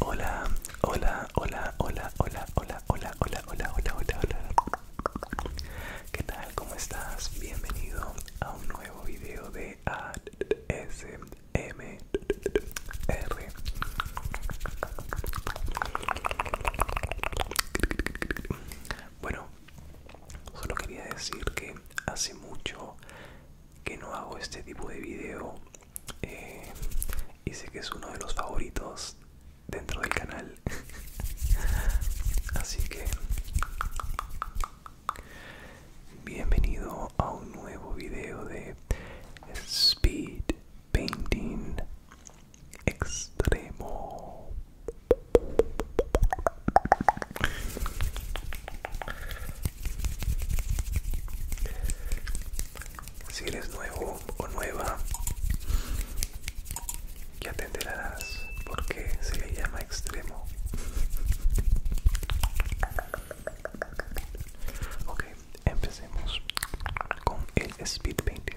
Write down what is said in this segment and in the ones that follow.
Hola, hola, hola, hola, hola, hola, hola, hola, hola, hola, hola, hola. ¿Qué tal? ¿Cómo estás? Bienvenido a un nuevo video de ASMR. Bueno, solo quería decir que hace mucho que no hago este tipo de video eh, y sé que es uno de los favoritos dentro del canal así que bienvenido a un nuevo video de speed painting extremo si eres nuevo o nueva, ya te enterarás porque se le llama extremo. Ok, empecemos con el speed painting.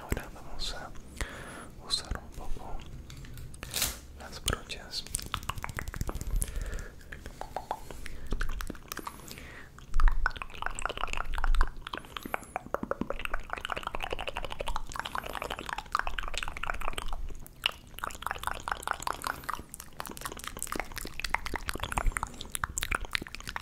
Ahora vamos a usar un poco las brochas.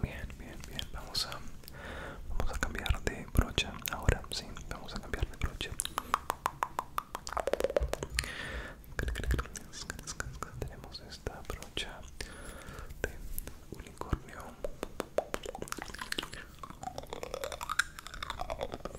Bien, bien, bien. Vamos a, vamos a cambiar de brocha ahora, sí. Vamos a cambiar de brocha. Tenemos esta brocha de unicornio.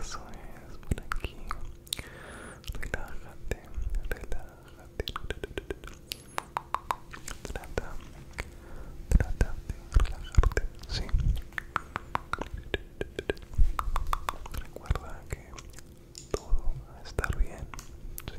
Eso es por aquí. Relájate, relájate. Relájate, Trata, trata de relajarte, sí. Recuerda que todo va a estar bien, sí.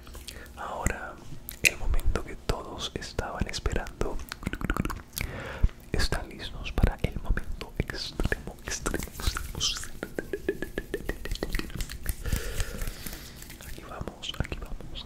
Ahora, el momento que todos estaban esperando. Están listos para el momento extremo, extremo, Aquí vamos, aquí vamos.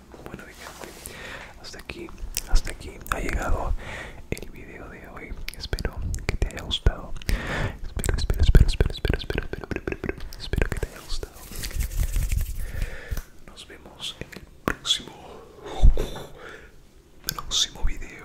Bueno hasta aquí, hasta aquí ha llegado el video de hoy. Espero que te haya gustado. Espero, espero, espero, espero, espero, espero, espero, espero, que te haya gustado. Nos vemos en el próximo, próximo video.